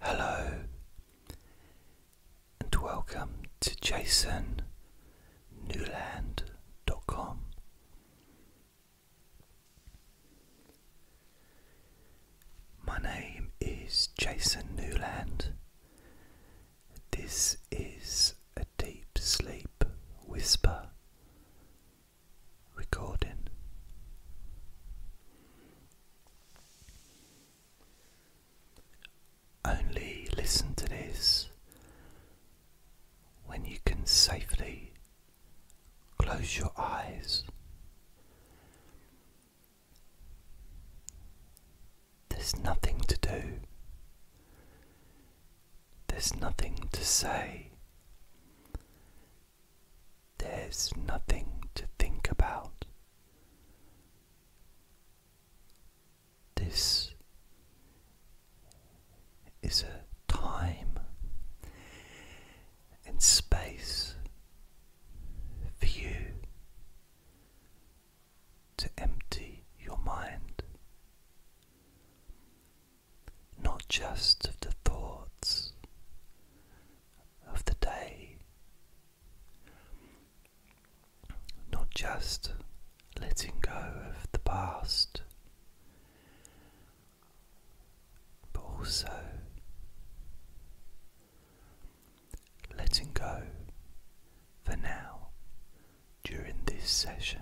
Hello, and welcome to jasonnewland.com. My name is Jason Newland. This is a deep sleep whisper recording. Only listen to this when you can safely close your eyes. There's nothing to do. There's nothing to say. There's nothing to think about. This is a time and space for you to empty your mind not just of the thoughts of the day, not just letting go of the past, but also letting go for now during this session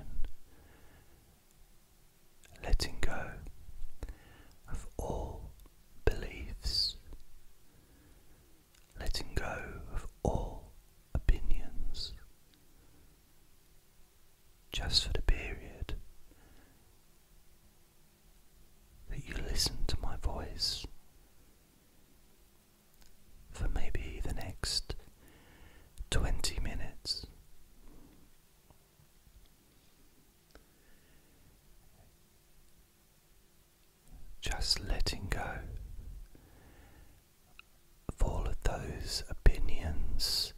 letting go of all beliefs, letting go of all opinions, just for the period that you listen to my voice for maybe the next 20 minutes. Just letting go of all of those opinions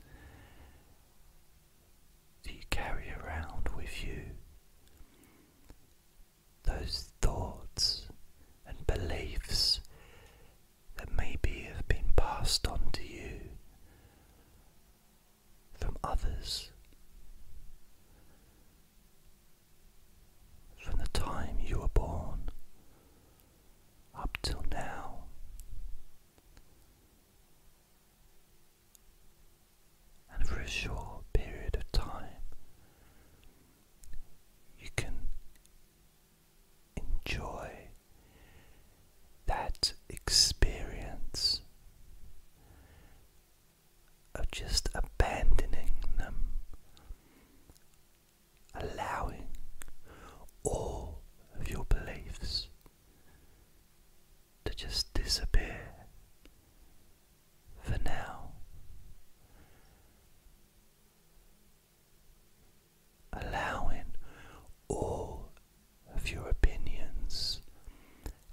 that you carry around with you, those thoughts and beliefs that maybe have been passed on to you from others from the time you were born up till now. And for a short period of time, you can enjoy that experience of just abandoning them, allowing all of your beliefs to just disappear for now allowing all of your opinions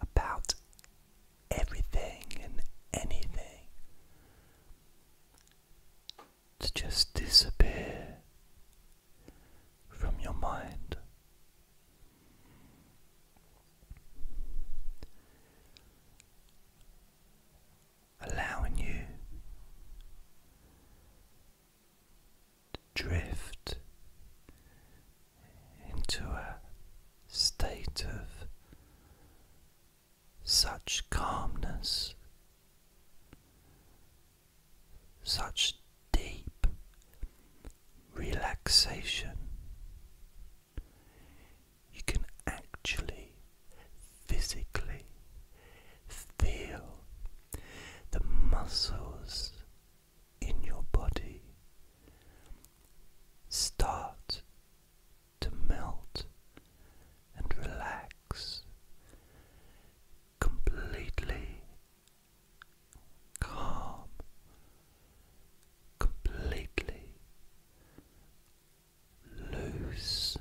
about everything and anything to just disappear from your mind. Allowing you drift into a state of such calmness, such deep relaxation, you can actually physically Feel the muscles in your body start to melt and relax completely calm, completely loose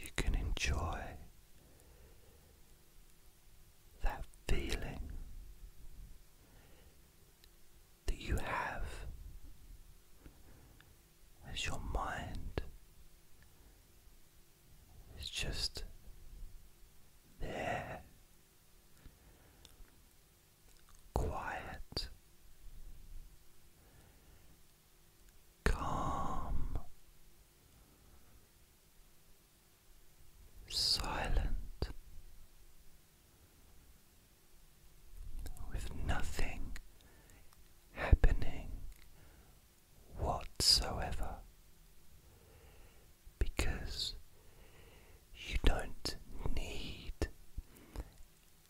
you can enjoy that feeling that you have as your mind is just there quiet, calm, silent, with nothing happening whatsoever. Because you don't need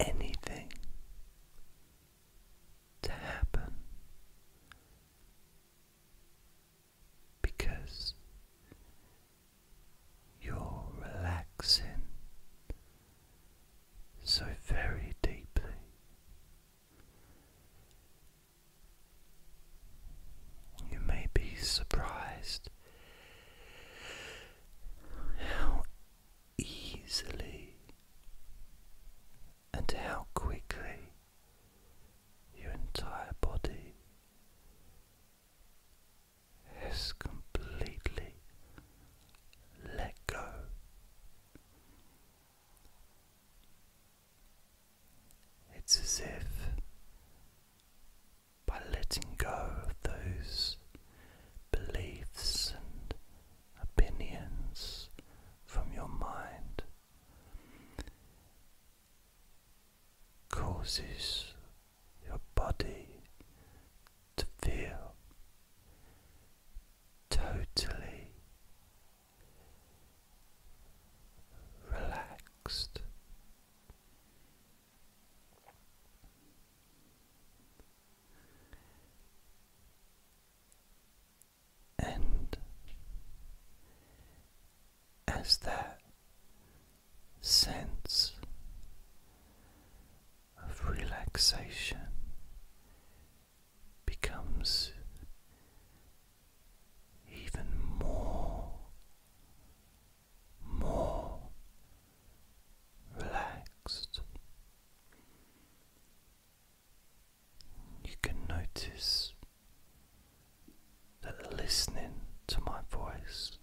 anything to happen because you're relaxing so very deeply. You may be surprised how easily and how quickly your entire body has completely let go. It's as if by letting go of those beliefs and opinions from your mind causes your body to feel totally relaxed and as that sense of relaxation becomes even more more relaxed. You can notice that listening to my voice,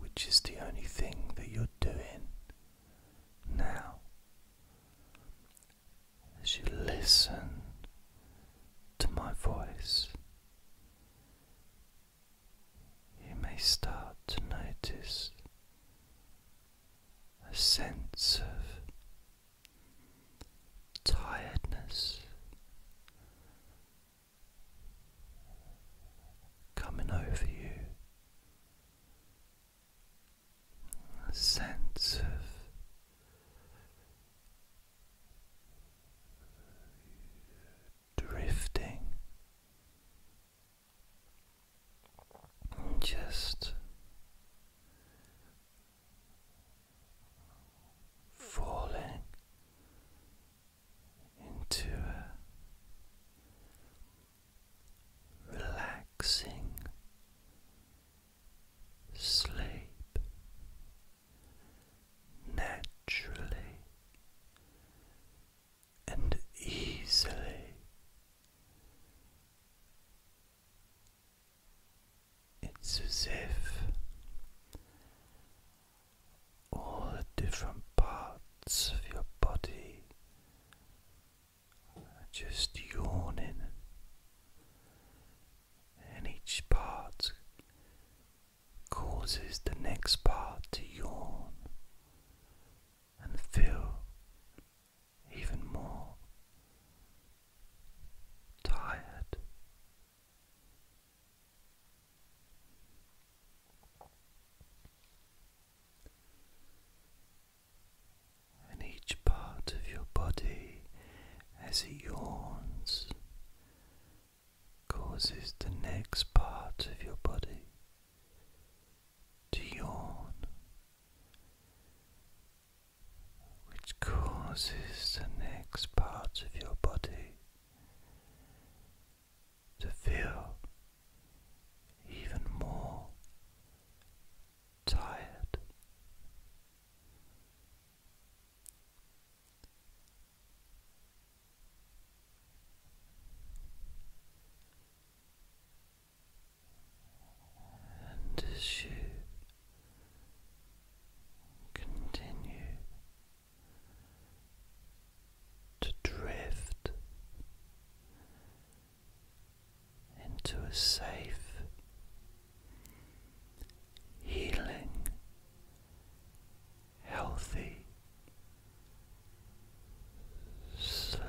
which is the only thing that you're doing now, as you listen to my voice, you may start to notice a sense of tiredness coming over you a sense of drifting, just falling into a relaxing sleep naturally and easily. It's as if all the different parts of your body just yawning, and each part causes the next part to yawn and feel even more tired and each part of your body as it yawns causes the next part of your body to yawn, which causes the next part of your body to feel even more tired. And as you continue to drift into a safe, healing, healthy sleep.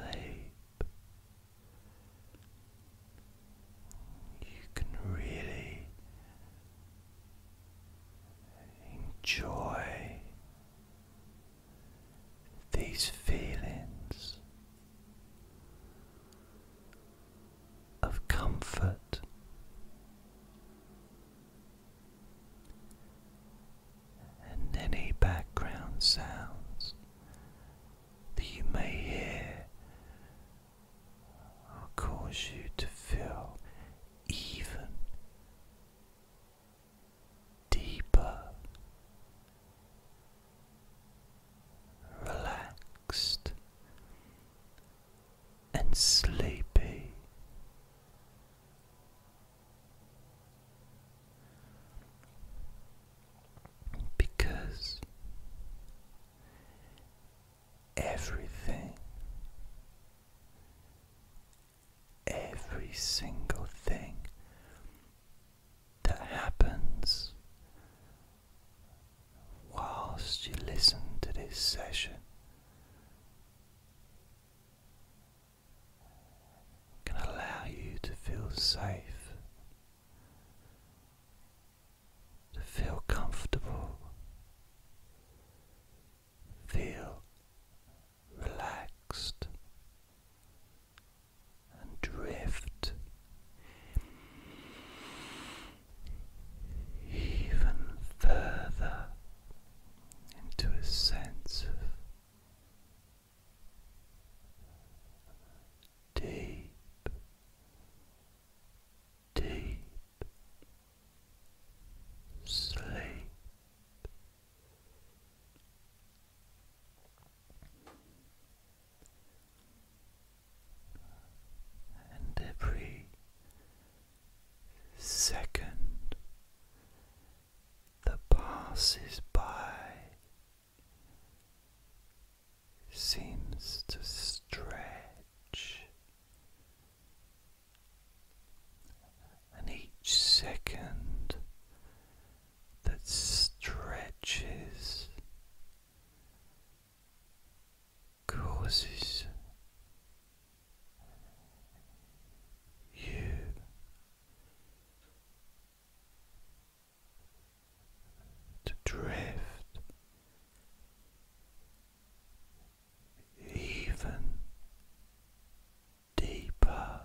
You can really enjoy these feelings of comfort. And any background sounds that you may hear will cause you to feel even deeper relaxed and sleepy. Because everything, every single thing that happens whilst you listen to this session can allow you to feel safe, to feel comfortable, feel relaxed and drift even further into a sense of deep, deep sleep and every second that passes by seems to stretch, and each second that stretches, causes you to drift even deeper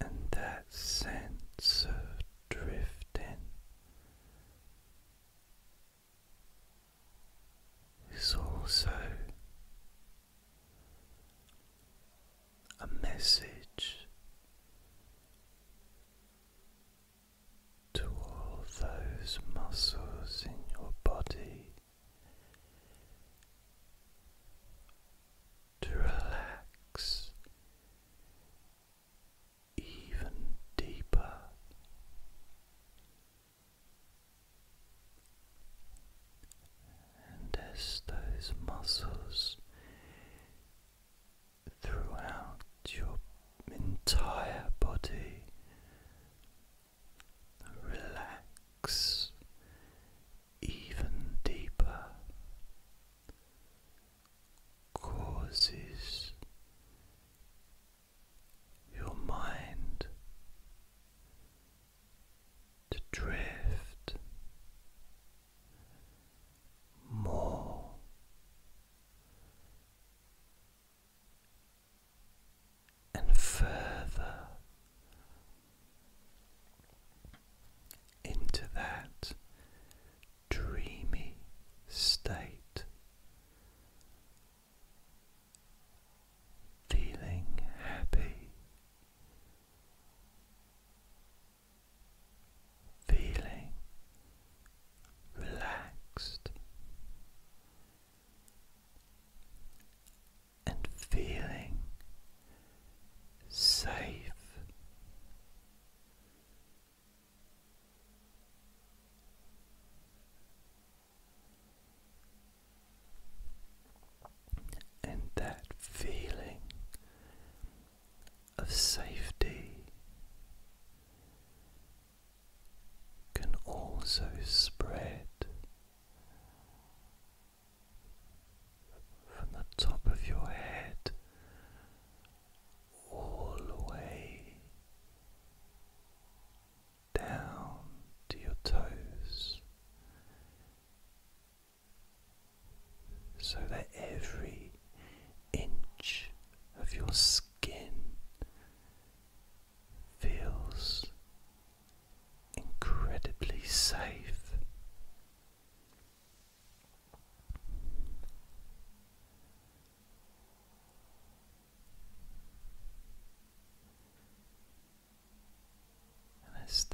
and that sense of drifting is also a message to all those muscles in your body to relax even deeper. And as those muscles throughout your entire body relax even deeper, causes your mind to drift more and further into that dreamy state, feeling happy, feeling relaxed and feeling safe. And that feeling of safety can also spread from the top of your head all the way down to your toes so that every inch of your skin feels incredibly safe. And it's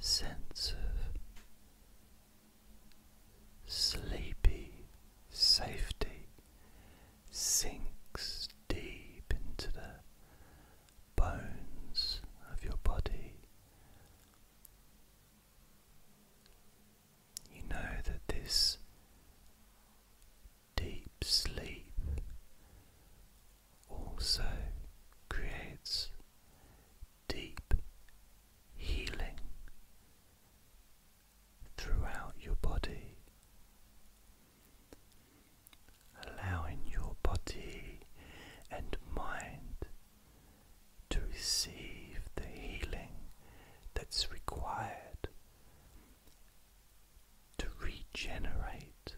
sense of Sleepy safety sinks deep into the bones of your body. You know that this deep sleep also creates deep healing throughout your body, allowing your body and mind to receive the healing that's required to regenerate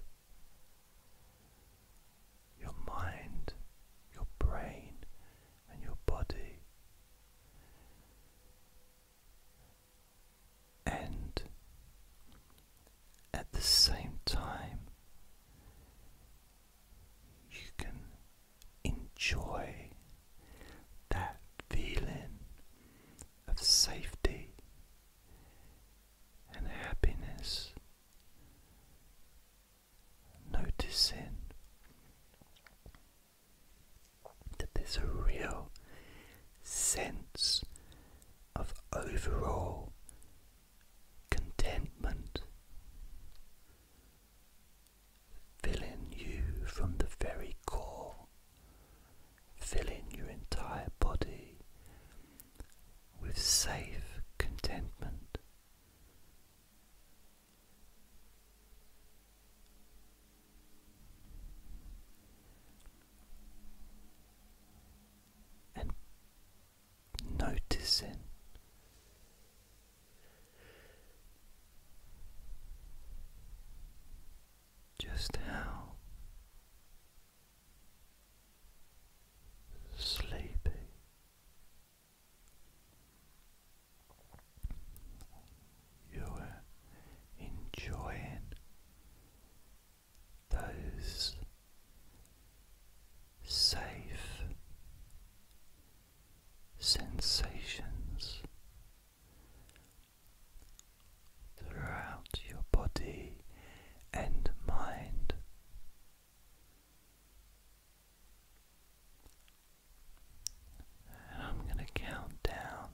your mind, your brain, and your body. And at the same time, you can enjoy that feeling of safety and happiness, noticing that there's a real sense of overall contentment filling you from the very core, filling your entire body with safe contentment and noticing. Just how sleepy you're enjoying those safe sensations throughout your body and mind. I'm going to count down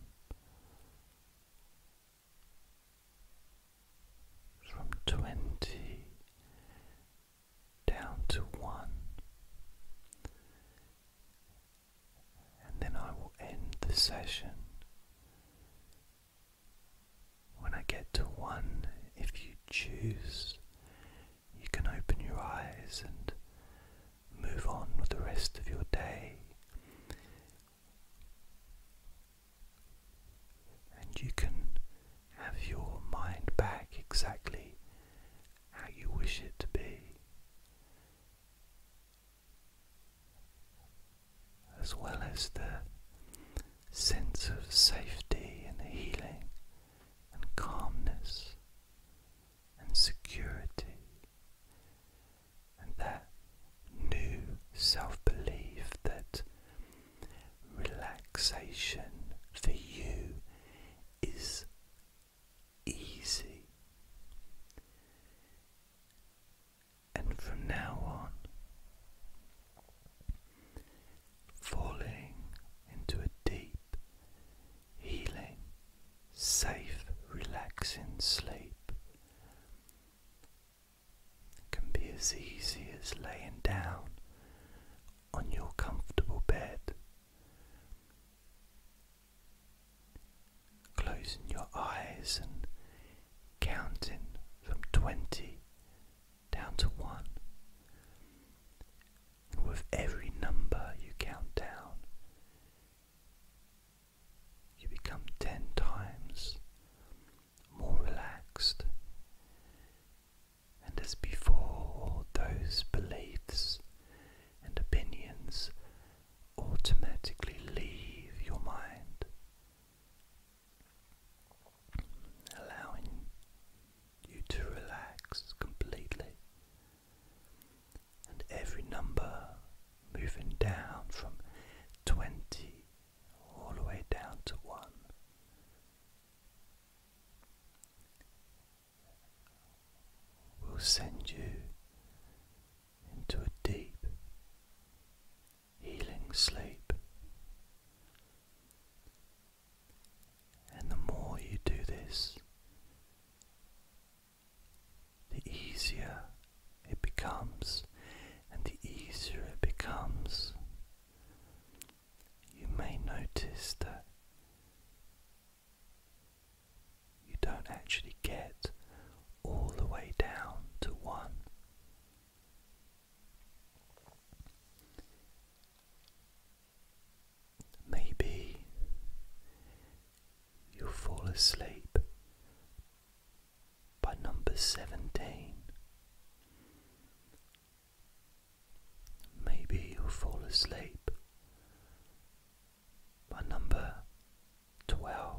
from 20 down to 1. And then I will end the session. When I get to 1, if you choose, you can open your eyes and move on with the rest of your day. And you can have your mind back exactly how you wish it to be. As well as the sense of safety and healing and calmness and security, and that new self belief that relaxation for you is easy. And from now on, falling into a deep healing, safe, relaxing sleep can be as easy as laying down on your comfortable bed, closing your eyes and counting from 20 down to 1. With every number you count down, you become ten times more relaxed. And as before, all those beliefs and opinions automatically leave your mind, allowing you to relax completely and every number moving down from 20 all the way down to 1. Will send you into a deep healing sleep and the more you do this, the easier it becomes, and the easier it becomes. You may notice that you don't actually get all the way down to one. Maybe you'll fall asleep by number 17. Maybe you fall asleep by number 12.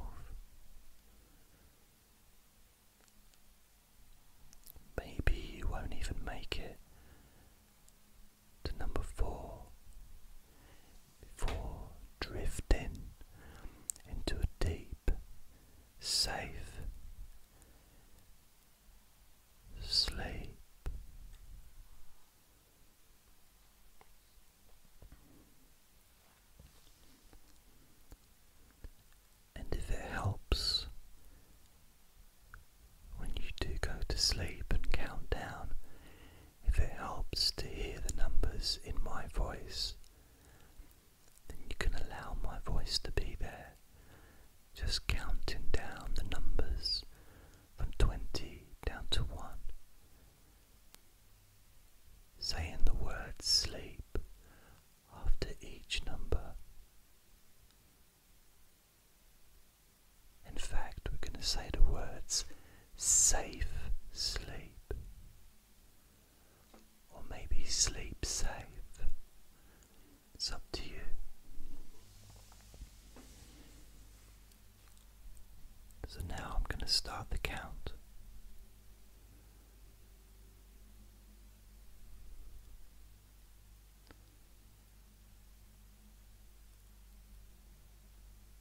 Maybe you won't even make it to number four before drifting into a deep, safe sleep. And if it helps, when you do go to sleep and count down, if it helps to hear the numbers in my voice, then you can allow my voice to be there, just counting down the numbers from 20 down to 1, saying the word sleep after each number. In fact, we're going to say the words safe sleep, or maybe sleep safe. It's up to you. So now I'm going to start the count.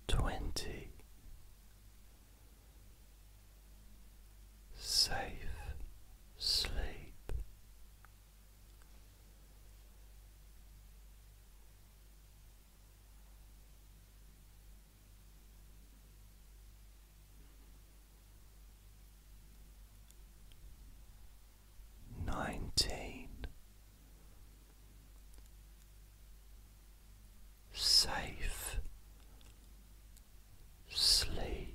Twenty Safe Sleep nineteen safe sleep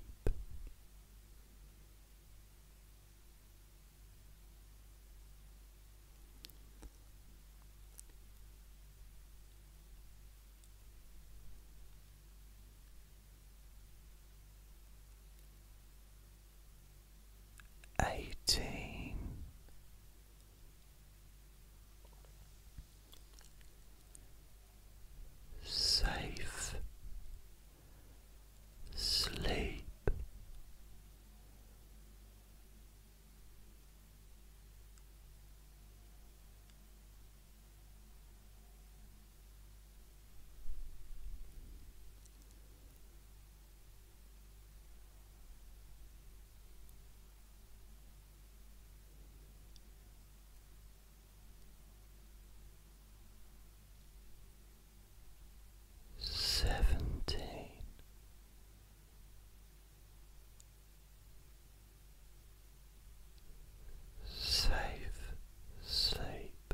eighteen. Safe sleep Seventeen. Safe sleep.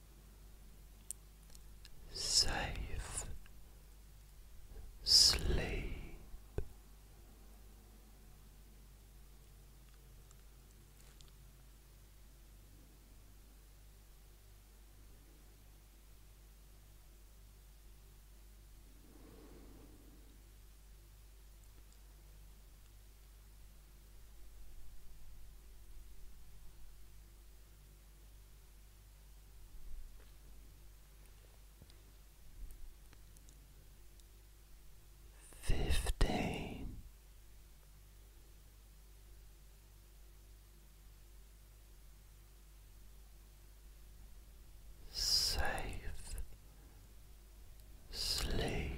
safe sleep. Fifteen. Safe sleep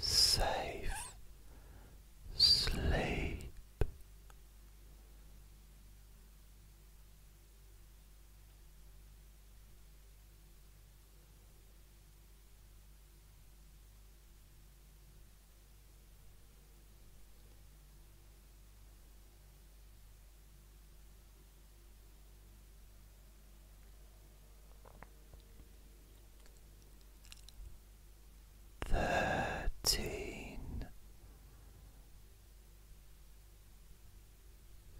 safe sleep. Thirteen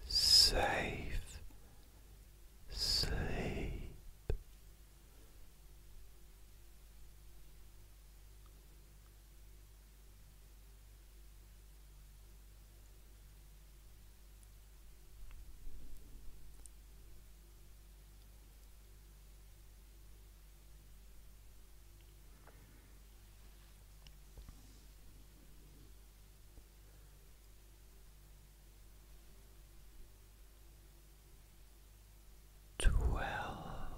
Safe Sleep Twelve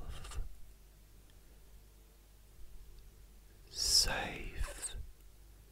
safe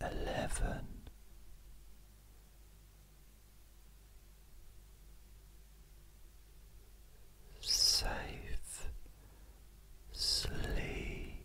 eleven. Safe sleep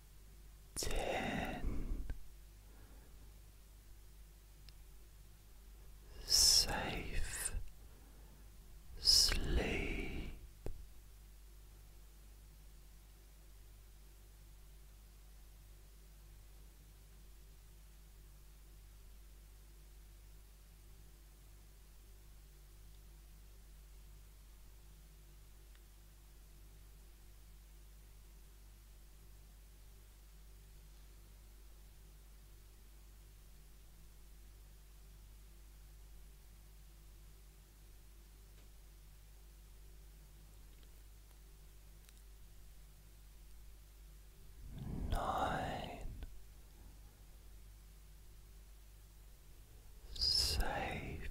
ten safe sleep Nine safe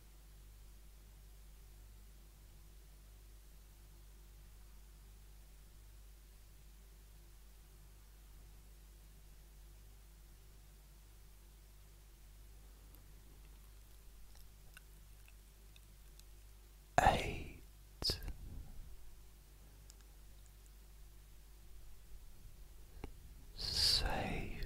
Eight. Save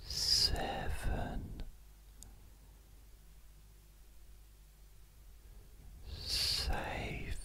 Seven, safe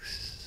Safe sleep.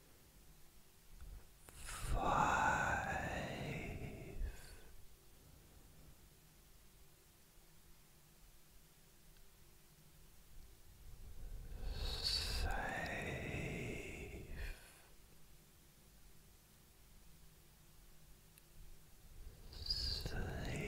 five, safe. Sleep.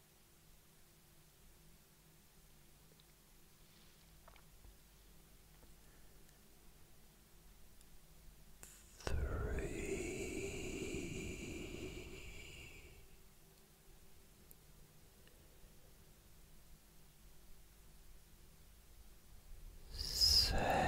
Three. Safe.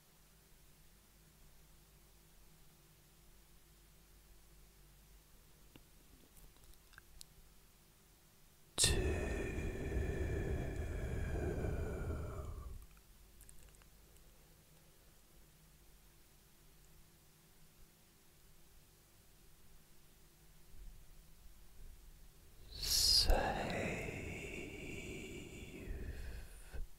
Two, safe.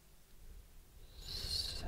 safe